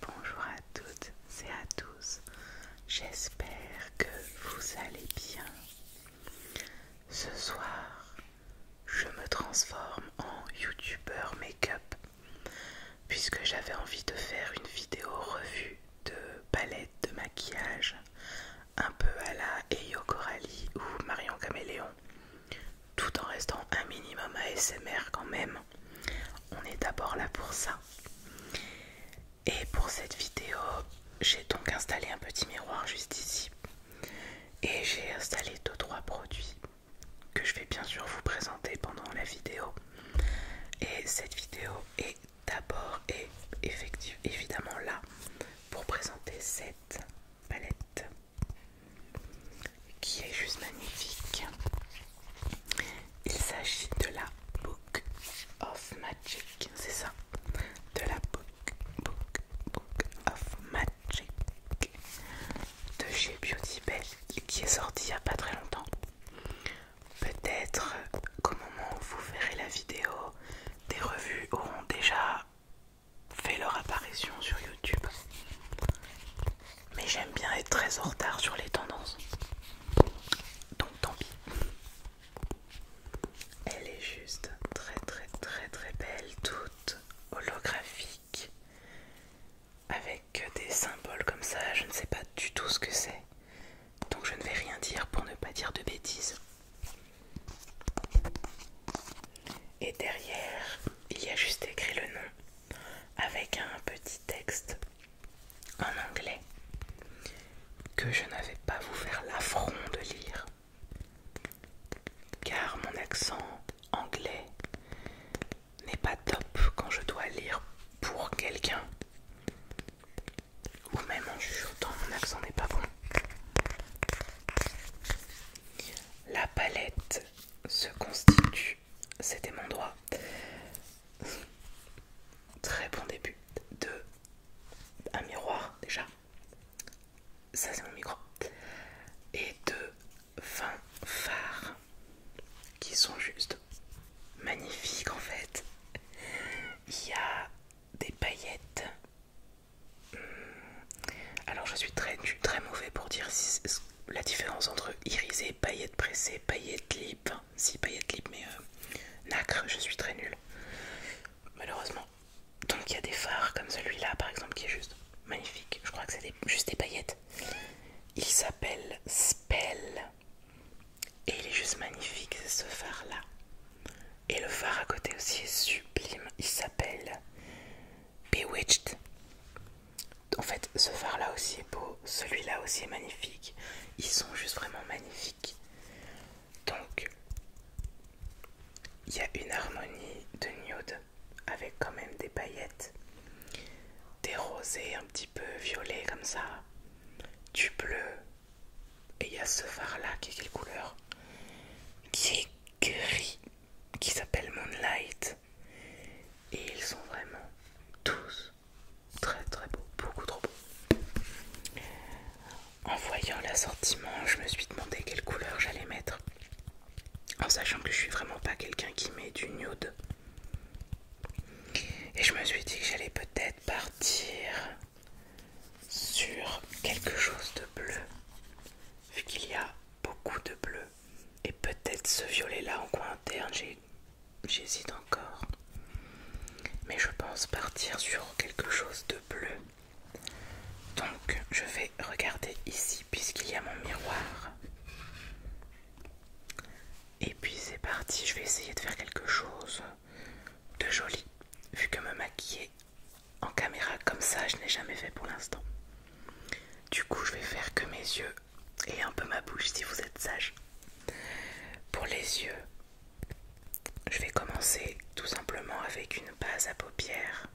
Bonjour à toutes et à tous, j'espère que vous allez bien. Ce soir, je me transforme en youtubeur make-up puisque j'avais envie de faire une vidéo revue de palette de maquillage un peu à la Eyo Coralie ou Marion Caméléon tout en restant un minimum ASMR quand même. On est d'abord là pour ça. Et pour cette vidéo, j'ai donc installé un petit miroir juste ici. Et j'ai installé 2-3 produits que je vais bien sûr vous présenter pendant la vidéo. Et cette vidéo est d'abord et effectivement évidemment là pour présenter cette palette qui est juste magnifique. Il s'agit de la Book of Magic, c'est ça, de la Book, Book, Book of Magic de chez Beauty Bell qui est sortie il n'y a pas très longtemps. Peut-être euh, qu'au moment où vous verrez la vidéo, des revues auront déjà fait leur apparition sur YouTube mais j'aime bien être très en retard sur les tendances. Donc tant pis. Elle est juste très très très très belle, toute holographique, avec des symboles comme ça, je ne sais pas du tout ce que c'est. Donc je ne vais rien dire pour ne pas dire de bêtises. Et derrière, il y a juste écrit le nom avec un petit texte en anglais que je n'avais pas vous faire l'affront de lire car mon accent anglais n'est pas top quand je dois lire pour quelqu'un ou même en mon accent n'est pas bon la palette se constitue c'était mon doigt. Très bon début de un miroir déjà. Ça c'est mon micro. Et de 20 phares qui sont juste magnifiques en fait. Il y a des paillettes. Hmm. Alors je suis très, très mauvais pour dire si, la différence entre irisé, paillette pressée, paillette lip, si paillette lip, mais euh, nacre, je suis très nulle, malheureusement. Donc il y a des phares comme celui-là, par exemple, qui est juste magnifique. Je crois que c'est juste des paillettes. Il s'appelle Spell. Et il est juste magnifique, ce phare-là. Et le phare à côté aussi est sublime. Il s'appelle Bewitched. En fait, ce phare là aussi est beau, celui-là aussi est magnifique. Ils sont juste vraiment magnifiques. Donc, il y a une harmonie de nude avec quand même des paillettes, des rosés un petit peu violets comme ça, du bleu. Et il y a ce phare là qui est quelle couleur Qui est gris qui s'appelle Moonlight. Et ils sont vraiment tous très très beaux, beaucoup trop beaux. En voyant l'assortiment, je me suis demandé quelle couleur j'allais mettre. En sachant que je suis vraiment pas quelqu'un qui met du nude. Et je me suis dit que j'allais peut-être partir sur quelque chose de bleu. Vu qu'il y a beaucoup de bleu et peut-être ce violet là en coin interne j'hésite encore mais je pense partir sur quelque chose de bleu donc je vais regarder ici puisqu'il y a mon miroir et puis c'est parti je vais essayer de faire quelque chose de joli vu que me maquiller en caméra comme ça je n'ai jamais fait pour l'instant du coup, je vais faire que mes yeux et un peu ma bouche si vous êtes sage. Pour les yeux, je vais commencer tout simplement avec une base à paupières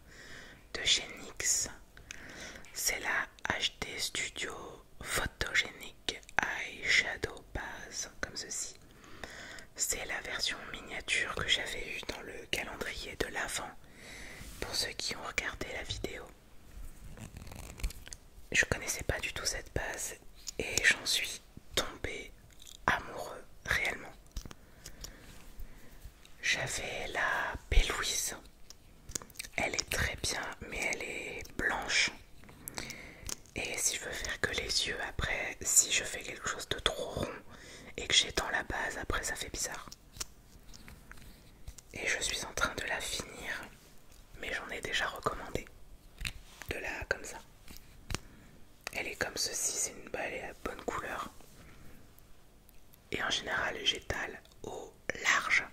de Genix. C'est la HD Studio Photogénique Shadow Base, comme ceci. C'est la version miniature que j'avais eue dans le calendrier de l'avant pour ceux qui ont regardé la vidéo. Je connaissais pas du tout cette base et j'en suis tombée amoureux réellement. J'avais la Bélouise. Elle est très bien mais elle est blanche. Et si je veux faire que les yeux après, si je fais quelque chose de trop rond et que j'ai la base après ça fait bizarre. Et je suis en train de la finir, mais j'en ai déjà recommandé. De la comme ça. Elle est comme ceci, c'est une balle à bonne couleur. Et en général, j'étale au large.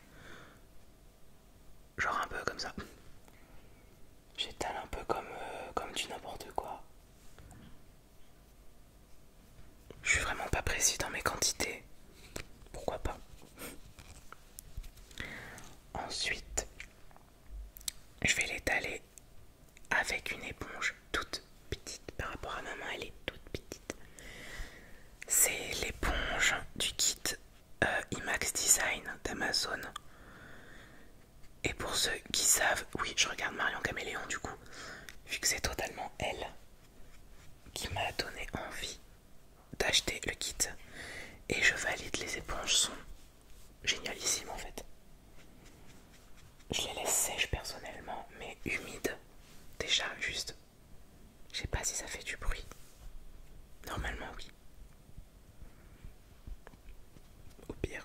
Genre un peu comme ça. J'étale un peu comme, euh, comme du n'importe quoi. Je suis vraiment pas précis dans mes quantités. Pourquoi pas Ensuite, je vais l'étaler avec une éponge toute petite par rapport à ma main, elle est toute petite. C'est l'éponge du kit euh, IMAX Design d'Amazon. Et pour ceux qui savent, oui, je regarde Marion Caméléon du coup, vu que c'est totalement elle qui m'a donné envie d'acheter le kit et je valide les éponges sont génialissimes en fait je les laisse sèches personnellement mais humides déjà juste je sais pas si ça fait du bruit normalement oui au pire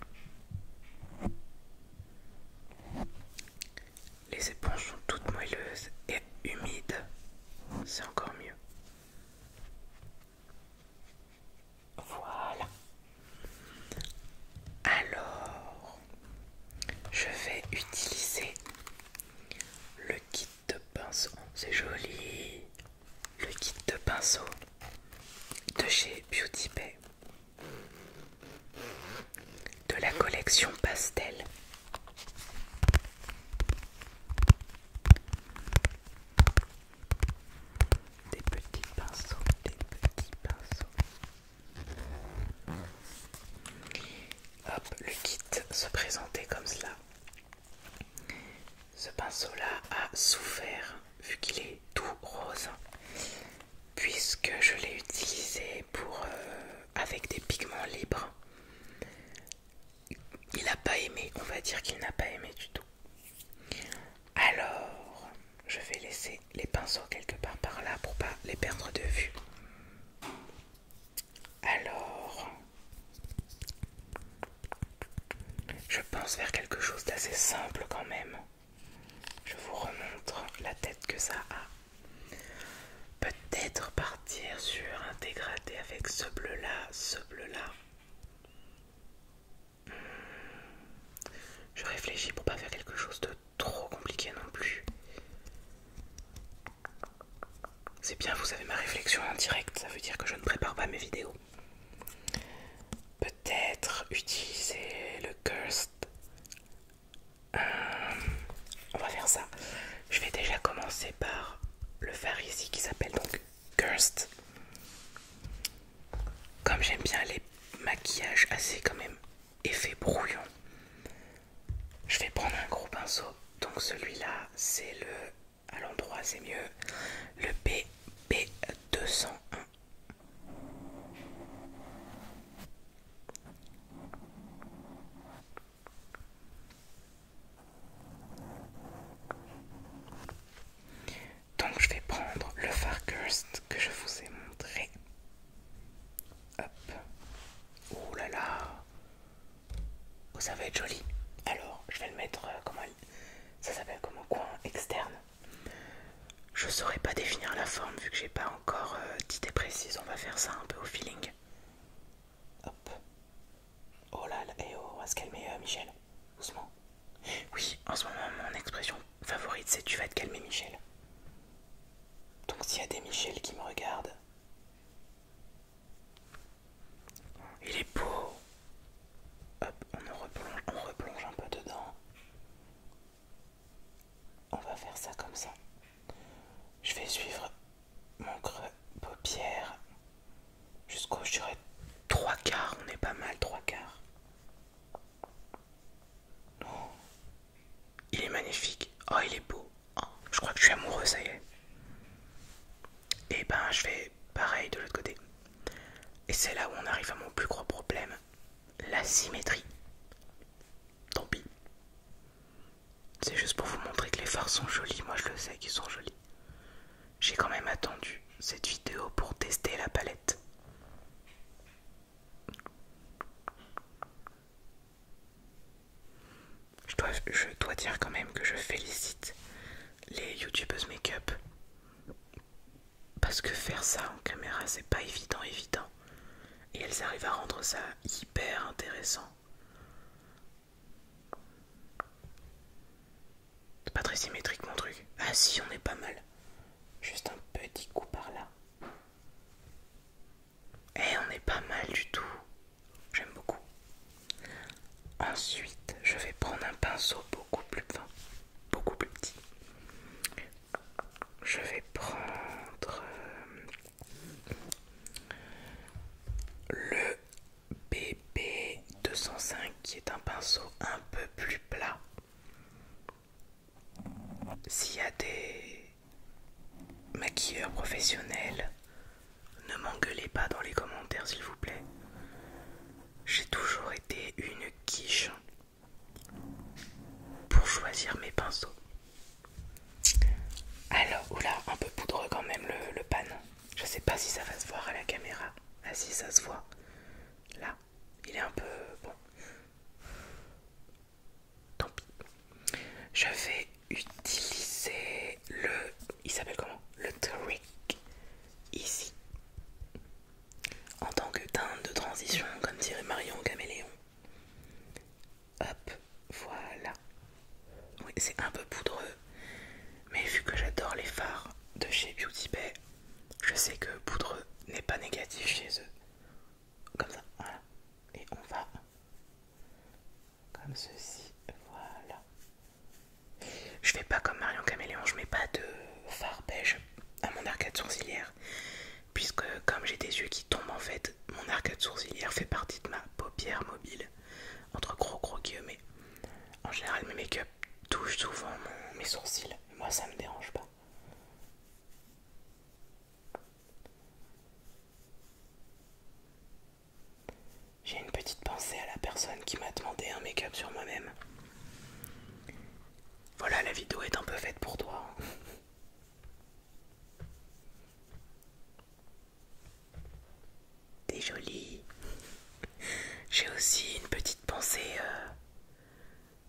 les éponges sont toutes moelleuses et humides. C'est encore mieux. Voilà. Alors, je vais utiliser le kit de pinceau. C'est joli. Le kit de pinceau de chez Beauty Bay de la collection Pastel. Des petits pinceaux, des petits pinceaux. Hop, le kit se présentait comme cela. Ce pinceau-là a souffert vu qu'il est tout rose puisque je l'ai utilisé pour euh, avec des pigments libres il n'a pas aimé on va dire qu'il n'a pas aimé du tout alors je vais laisser les pinceaux quelque part par là pour pas les perdre de vue alors je pense vers quelque chose d'assez simple quand même je vous remontre la tête que ça a Peut-être partir sur un dégradé avec ce bleu-là, ce bleu-là. Hmm. Je réfléchis pour pas faire quelque chose de trop compliqué non plus. C'est bien, vous avez ma réflexion en direct, ça veut dire que je ne prépare pas mes vidéos. Peut-être utiliser le cursed euh, on va faire ça. Je vais déjà commencer par le fard ici qui s'appelle donc Cursed. Comme j'aime bien les maquillages assez quand même effets brouillons, je vais prendre un gros pinceau. Donc celui-là, c'est le à l'endroit, c'est mieux le BB201. Donc je vais prendre le Far Curse que je vous ai montré. Hop. Oh là là. Oh, ça va être joli. Alors, je vais le mettre euh, ça s'appelle comme coin externe. Je saurais pas définir la forme vu que j'ai pas encore euh, d'idées précises, précise, on va faire ça un peu au feeling. Hop. Oh là là, eh oh, on va se calmer euh, Michel, doucement. Oui, en ce moment mon expression favorite c'est tu vas te calmer Michel. Donc s'il y a des Michel qui me regardent. Il est beau. Hop, on, on replonge un peu dedans. On va faire ça comme ça. Je vais suivre mon creux paupière jusqu'au, je dirais, trois quarts. On est pas mal, trois quarts. il est magnifique. Oh, il est beau. Oh, je crois que je suis amoureux, ça y est. Et eh ben, je vais pareil de l'autre côté. Et c'est là où on arrive à mon plus gros problème, la symétrie. Tant pis, c'est juste pour vous montrer que les fards sont jolis, moi je le sais qu'ils sont jolis. J'ai quand même attendu cette vidéo pour tester la palette. Je dois, je dois dire quand même que je félicite les youtubeuses make-up. Parce que faire ça en caméra, c'est pas évident, évident. Et elles arrivent à rendre ça hyper intéressant. C'est pas très symétrique mon truc. Ah si, on est pas mal. Juste un petit coup par là. Et eh, on est pas mal du tout. J'aime beaucoup. Ensuite, je vais prendre un pinceau beaucoup plus fin, beaucoup plus petit. Je vais prendre euh, le BB205 qui est un pinceau un peu plus plat. S'il y a des maquilleurs professionnels, ne m'engueulez pas dans les commentaires s'il vous plaît. J'ai toujours été une quiche pour choisir mes pinceaux. Alors, oula, un peu poudreux quand même le, panneau. Je Je sais pas si ça va se voir à la caméra. Ah si, ça se voit. Là, il est un peu bon. Tant pis. Je vais utiliser le. Il s'appelle comment Le trick ici. En tant que teinte de transition, comme dirait Marion Caméléon. Hop, voilà. Oui, c'est un peu poudreux, mais vu que j'adore les fards de chez Beauty Bay, je sais que poudreux n'est pas négatif chez eux. Comme ça, voilà. Et on va comme ceci, voilà. Je fais pas comme Marion Caméléon, je mets pas de fard beige à mon arcade sourcilière puisque comme j'ai des yeux qui tombent en fait, mon arcade sourcilière fait partie de ma paupière mobile, entre gros gros guillemets. En général, mes make-up touchent souvent mes sourcils, moi ça me dérange pas. J'ai une petite pensée à la personne qui m'a demandé un make-up sur moi-même. Voilà, la vidéo est un peu faite pour toi. T'es jolie. J'ai aussi une petite pensée euh,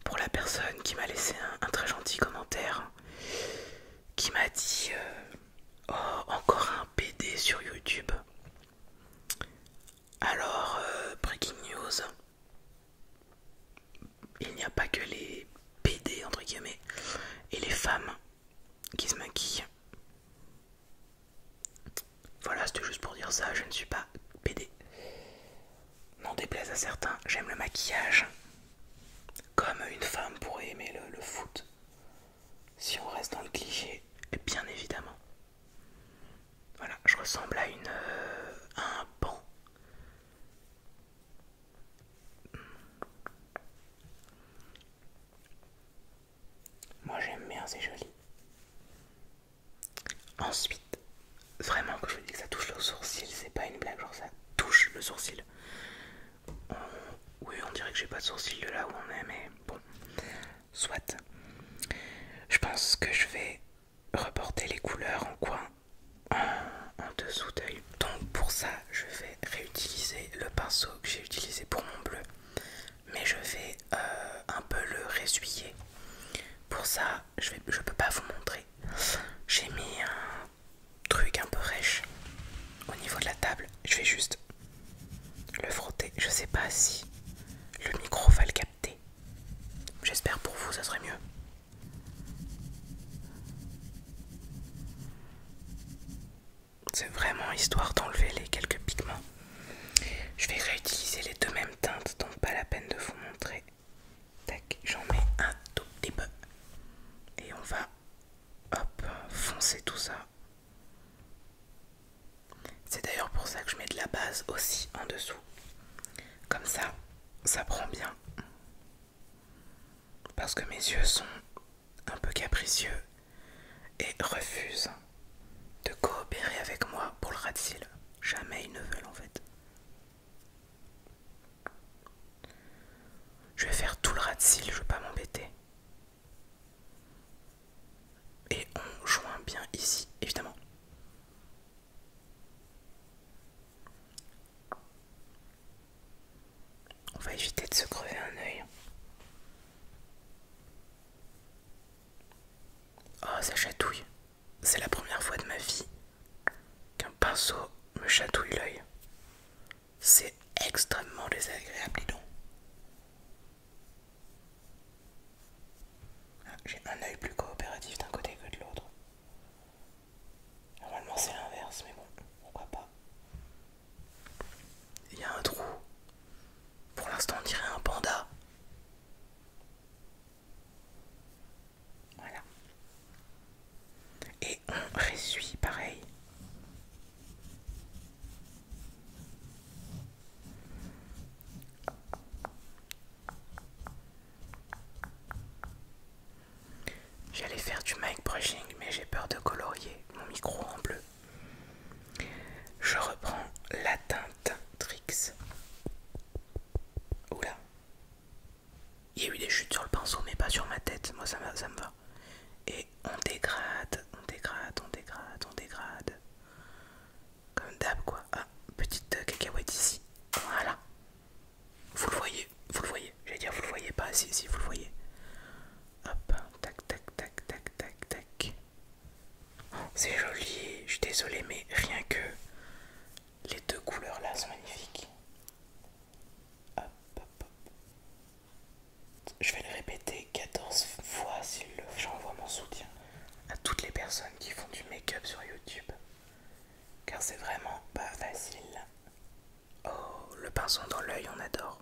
pour la personne qui m'a laissé un, très gentil commentaire qui m'a dit euh, Oh, encore un PD sur YouTube. Alors, euh, breaking news il n'y a pas que les PD entre guillemets et les femmes qui se maquillent. Voilà, c'était juste pour dire ça, je ne suis pas PD. N'en déplaise à certains, j'aime le maquillage. Comme une femme pourrait aimer le, foot. Si on reste dans le cliché, bien évidemment. Voilà, je ressemble à une euh, à un pan moi j'aime bien, c'est joli. Ensuite, vraiment que je dis que ça touche le sourcil, c'est pas une blague, genre ça touche le sourcil. Oui, on dirait que j'ai pas de sourcil de là où on est, mais bon, soit. Je pense que je vais reporter les couleurs en coin en, dessous d'œil. Donc pour ça, je vais réutiliser le pinceau que j'ai utilisé pour mon bleu, mais je vais euh, un peu le résuyer Pour ça, je peux pas vous montrer. J'ai mis un truc un peu rêche au niveau de la table. Je vais juste le frotter. Je sais pas si le micro va le capter. J'espère pour vous, ça serait mieux. C'est vraiment histoire d'enlever les quelques pigments. Je vais réutiliser les deux mêmes teintes, donc pas la peine de vous montrer. Tac, j'en mets un tout petit peu. Et on va, hop, foncer tout ça. C'est d'ailleurs pour ça que je mets de la base aussi en dessous. Comme ça, ça prend bien parce que mes yeux sont un peu capricieux et refusent de coopérer avec moi pour le rat Jamais ils ne veulent en fait. Je vais faire tout le rat de cils, je vais pas m'embêter. Et on joint bien ici, évidemment. On va éviter de se crever un œil. Oh, ça chatouille. C'est la première fois de ma vie qu'un pinceau me chatouille l'œil. C'est extrêmement désagréable, dis donc. Ah, j'ai un œil plus coopératif d'un côté que de l'autre. Normalement c'est l'inverse, mais bon, pourquoi pas. Il y a un trou. Pour l'instant on dirait un panda. Voilà. Et on ressuit pareil. J'allais faire du mic brushing, mais j'ai peur de colorier mon micro en bleu. Je reprends la teinte Trix. Oula. Il y a eu des chutes sur le pinceau, mais pas sur ma tête. Moi, ça, me va. Et on dégrade, on dégrade, on dégrade, on dégrade. Comme d'hab, quoi. Ah, petite cacahuète ici. Voilà. Vous le voyez, vous le voyez. J'allais dire, vous le voyez pas, si, si, vous le voyez. Hop, tac, tac, tac, tac, tac, tac. Oh, c'est joli, je suis désolé, mais rien que les deux couleurs là sont magnifiques. Hop, hop, hop. Je vais le répéter 14 fois s'il le J'envoie mon soutien à toutes les personnes qui font du make-up sur YouTube car c'est vraiment pas facile. Oh, le pinceau dans l'œil, on adore.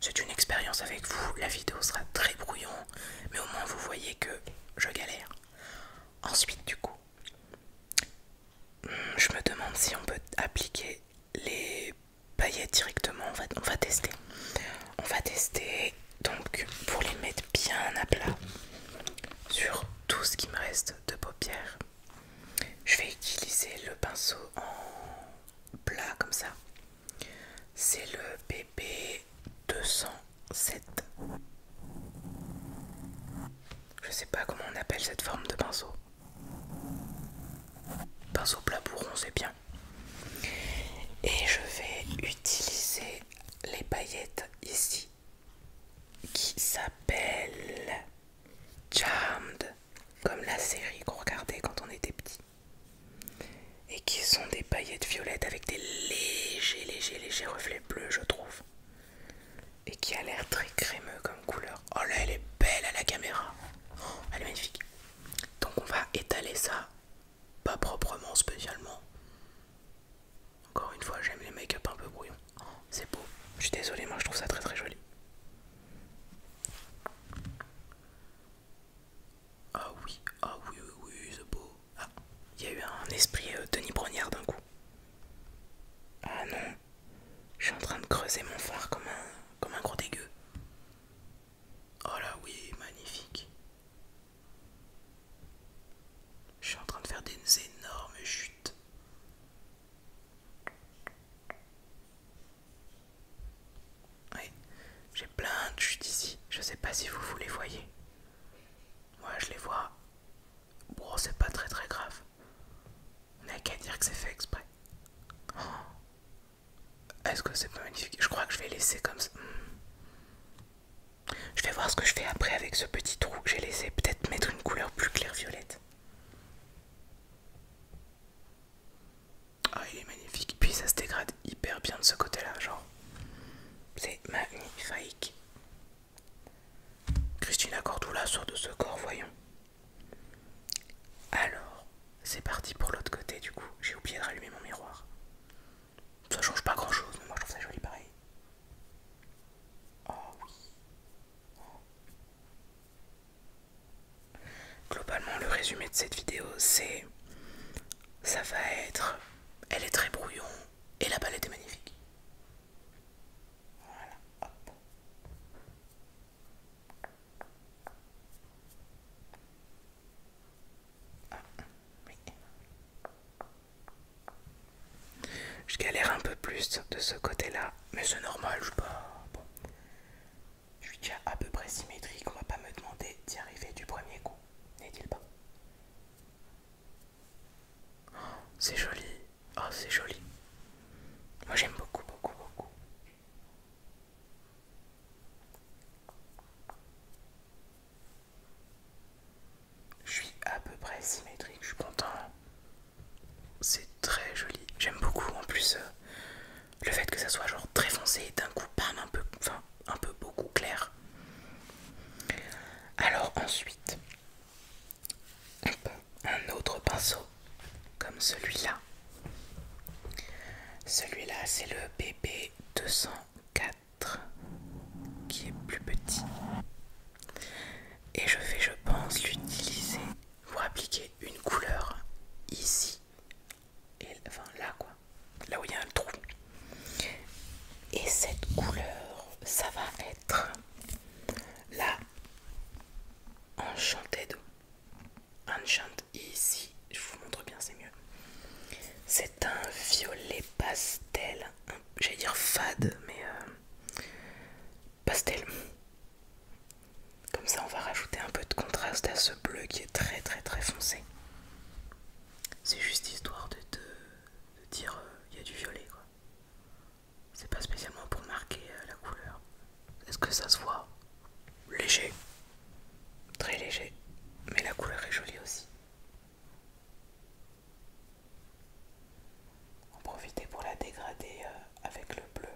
C'est une expérience avec vous, la vidéo sera très brouillon, mais au moins vous voyez que je galère. Ensuite, du coup, hmm, je me demande si on peut appliquer les paillettes directement. On va, on va tester. On va tester. Donc, pour les mettre bien à plat sur tout ce qui me reste de paupières. Je vais utiliser le pinceau en plat comme ça. C'est le BB 207. Je sais pas comment on appelle cette forme de pinceau. Pinceau plat c'est bien. Et je vais utiliser les paillettes ici qui s'appelle Charmed, comme la série qu'on regardait quand on était petit. Et qui sont des paillettes violettes avec des légers, légers, légers reflets bleus, je trouve. Et qui a l'air très crémeux comme couleur. Oh là, elle est belle à la caméra. Oh, elle est magnifique. Donc on va étaler ça, pas proprement spécialement, encore une fois, j'aime les make-up un peu brouillons. c'est beau. Je suis désolé, moi je trouve ça très très joli. Ah oui, ah oui, oui, oui, c'est beau. Ah, il y a eu un esprit euh, Denis Brognard d'un coup. Ah non, je suis en train de creuser mon phare comme un, comme un gros dégueu. Oh là oui, magnifique. Je suis en train de faire des énormes chutes. Oui, j'ai plein de chutes ici. Je sais pas si vous vous les voyez. Moi, je les vois. Bon, c'est pas très très grave. On n'a qu'à dire que c'est fait exprès. Oh. Est-ce que c'est pas magnifique Je crois que je vais laisser comme ça. Hmm. Je vais voir ce que je fais après avec ce petit trou que j'ai laissé. Peut-être mettre une couleur plus claire violette. Ah, il est magnifique. Puis ça se dégrade hyper bien de ce côté-là, genre. C'est magnifique. Christina Cordula sort de ce corps, voyons. Alors, c'est parti pour l'autre côté, du coup. J'ai oublié de rallumer mon miroir. Ça change pas grand-chose, mais moi je trouve ça joli pareil. Oh Globalement, le résumé de cette vidéo, c'est... Ça va être... Elle est très brouillon et la palette est magnifique. Voilà, ah, je galère un peu plus de ce côté-là, mais c'est normal, je suis pas... Je suis déjà à peu près symétrique, on va pas me demander d'y arriver du premier coup, n'est-il pas oh, C'est joli, oh c'est joli. Moi j'aime beaucoup, beaucoup, beaucoup. Je suis à peu près symétrique, je suis content. C'est très joli. J'aime beaucoup en plus euh, le fait que ça soit genre très foncé et d'un coup un peu enfin un peu beaucoup clair. Alors ensuite un autre pinceau comme celui-là. Celui-là c'est le BB204 qui est plus petit et je vais je pense l'utiliser pour appliquer une couleur ici et enfin là quoi là où il y a un trou et cette couleur ça va être là enchanted enchant ici je vous montre bien c'est mieux c'est un violet pastel j'allais dire fade, mais euh, pastel. Comme ça, on va rajouter un peu de contraste à ce bleu qui est très très très foncé. C'est juste histoire de, te, de dire euh, il y a du violet, quoi. C'est pas spécialement pour marquer euh, la couleur. Est-ce que ça se voit Léger, très léger, mais la couleur est jolie aussi. En profiter pour la dégrader euh, avec le bleu.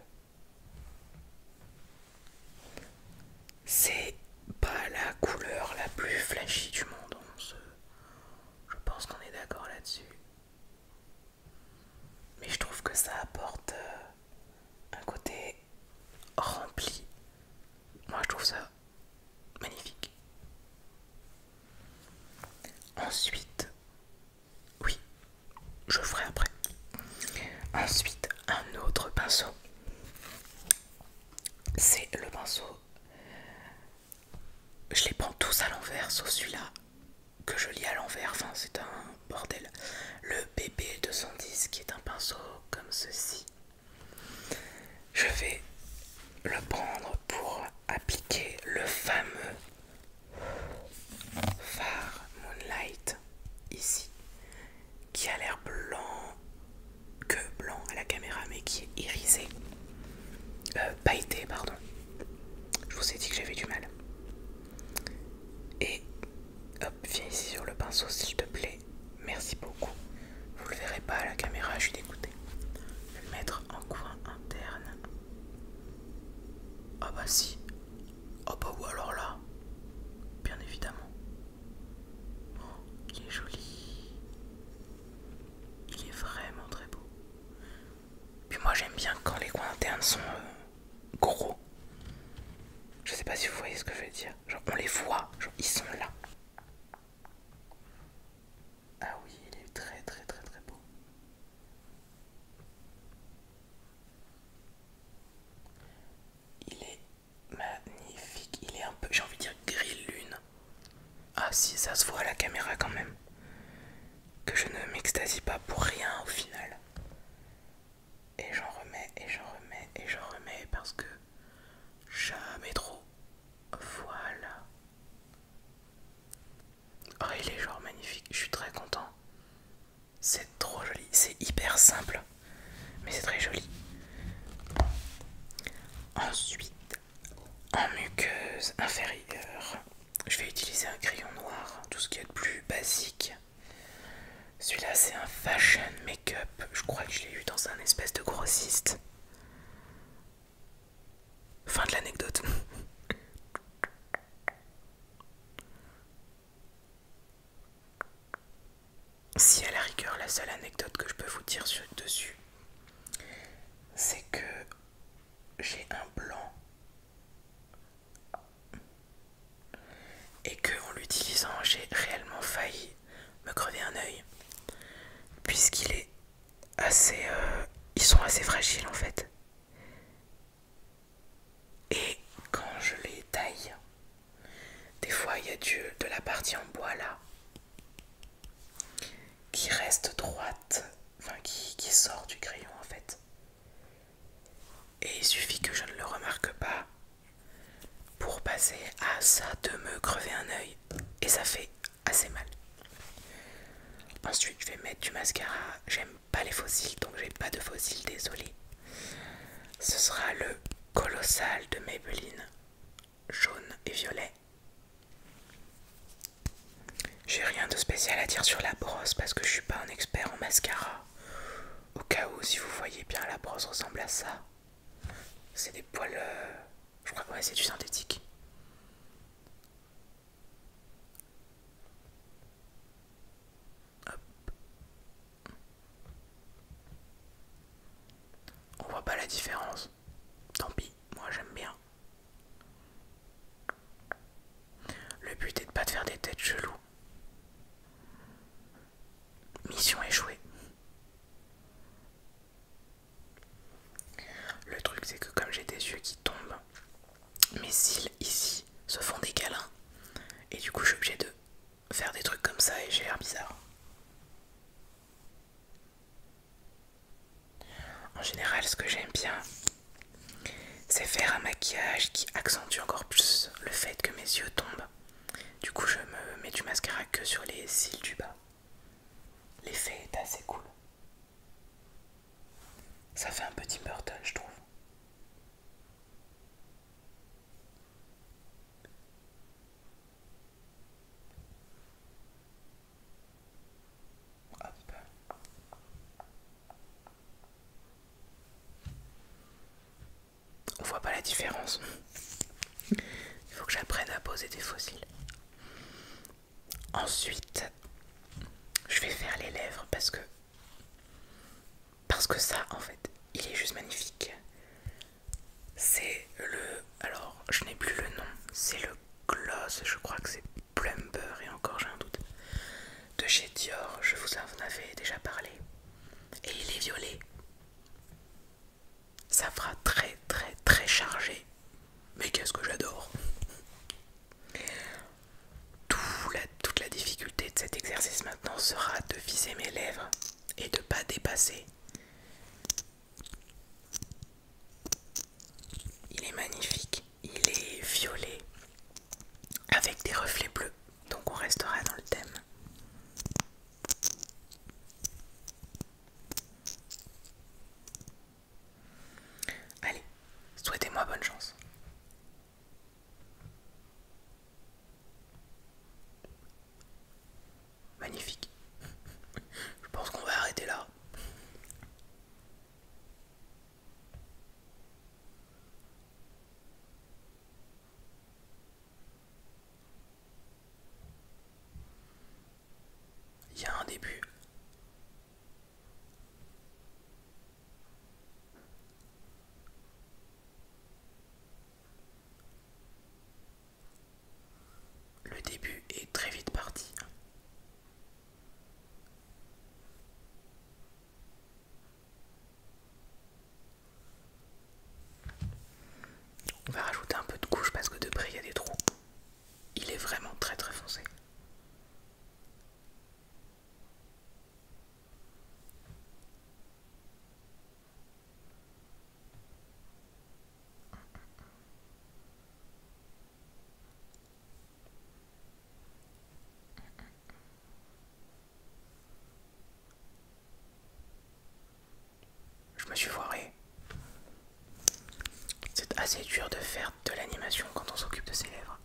C'est pas la couleur la plus flashy du monde, je pense qu'on est d'accord là-dessus. Mais je trouve que ça apporte euh, un côté rempli. Moi je trouve ça magnifique. Ensuite, oui, je ferai après. Ensuite, un autre pinceau. C'est le pinceau. Je les prends tous à l'envers, sauf celui-là que je lis à l'envers. Enfin, c'est un bordel. Le BB210 qui est un pinceau comme ceci. Je vais le prendre pour appliquer le fameux phare Moonlight ici, qui a l'air blanc, que blanc à la caméra, mais qui est irisé, euh, pailleté, pardon. Je vous ai dit que j'avais du mal. Et hop, viens ici sur le pinceau s'il te plaît. Merci beaucoup. Vous le verrez pas à la caméra, je suis dégoûté. Le mettre en coin interne. Ah bah si. Ah bah ou alors là. Bien évidemment. il est joli. Il est vraiment très beau. Puis moi j'aime bien quand les coins internes sont euh, gros. Je sais pas si vous voyez ce que je veux dire. Genre on les voit, ils sont là. Ah oui, il est très très très très beau. Il est magnifique, il est un peu, j'ai envie de dire gris lune. Ah si, ça se voit à la caméra quand même. Que je ne m'extasie pas pour rien au final. Et j'en remets, et j'en remets, et j'en remets parce que jamais trop. Voilà. Oh, il est genre magnifique, je suis très content. C'est trop joli, c'est hyper simple, mais c'est très joli. Ensuite, en muqueuse inférieure, je vais utiliser un crayon noir, tout ce qui est de plus basique. Celui-là, c'est un fashion make-up, je crois que je l'ai eu dans un espèce de grossiste. Fin de l'anecdote. Si à la rigueur la seule anecdote que je peux vous dire sur, dessus, c'est que j'ai un blanc et que en l'utilisant j'ai réellement failli me crever un œil puisqu'il est assez... Euh, ils sont assez fragiles en fait. Et quand je les taille, des fois il y a du, de la partie en bois là qui reste droite, enfin qui, sort du crayon en fait. Et il suffit que je ne le remarque pas pour passer à ça de me crever un oeil Et ça fait assez mal. Ensuite, je vais mettre du mascara. J'aime pas les fossiles, donc j'ai pas de fossiles, désolé. Ce sera le colossal de Maybelline, jaune et violet. J'ai rien de spécial à dire sur la brosse parce que je suis pas un expert en mascara. Au cas où, si vous voyez bien, la brosse ressemble à ça. C'est des poils. Euh, je crois que c'est du synthétique. On voit pas la différence. Tant pis, moi j'aime bien. Le but est de pas te faire des têtes cheloues. Mission échouée. Le truc c'est que comme j'ai des yeux qui tombent, mes cils ici se font des câlins et du coup je suis obligée de faire des trucs comme ça et j'ai l'air bizarre. En général ce que j'aime bien c'est faire un maquillage qui accentue encore plus le fait que mes yeux tombent. Du coup je me mets du mascara que sur les cils du bas. L'effet est assez cool. Ça fait un petit Burton, je trouve. On ah, On voit pas la différence. Il faut que j'apprenne à poser des fossiles. Ensuite, je vais faire les lèvres parce que parce que ça en fait, il est juste magnifique. C'est le alors, je n'ai plus le nom, c'est le gloss, je crois que c'est Plumber et encore j'ai un doute. De chez Dior, je vous en avais déjà parlé. Et il est violet. Ça fera très très très chargé. Mais qu'est-ce que j'adore Toute la difficulté de cet exercice maintenant sera de viser mes lèvres et de pas dépasser. Il est magnifique, il est violet avec des reflets bleus, donc on restera dans le thème. Allez, souhaitez-moi bonne chance. Magnifique. Je pense qu'on va arrêter là. Il y a un début. Le début est très vite parti. On va rajouter un peu de couche parce que de près il y a des trous. Il est vraiment très très foncé. Je me suis foiré. C'est assez dur de faire de l'animation quand on s'occupe de ses lèvres.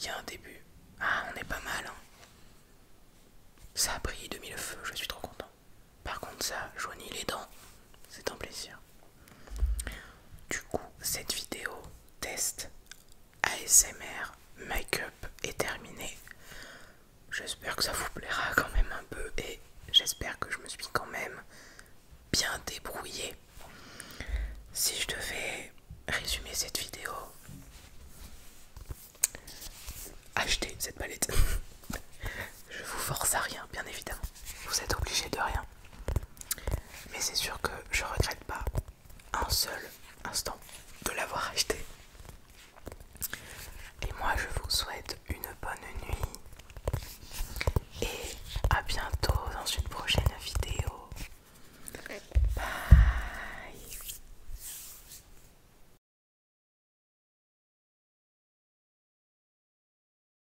Il y a un début. Ah, on est pas mal. Hein. Ça a de demi le feu, je suis trop content. Par contre, ça jaunit les dents. C'est un plaisir. Du coup, cette vidéo test ASMR make-up est terminée. J'espère que ça vous plaira quand même un peu et j'espère que je me suis quand même bien débrouillée. Si je devais résumer cette vidéo, achetez cette palette. je vous force à rien, bien évidemment. Vous êtes obligé de rien. Mais c'est sûr que je regrette pas un seul instant de l'avoir acheté. Et moi je vous souhaite une bonne nuit et à bientôt dans une prochaine vidéo. Bye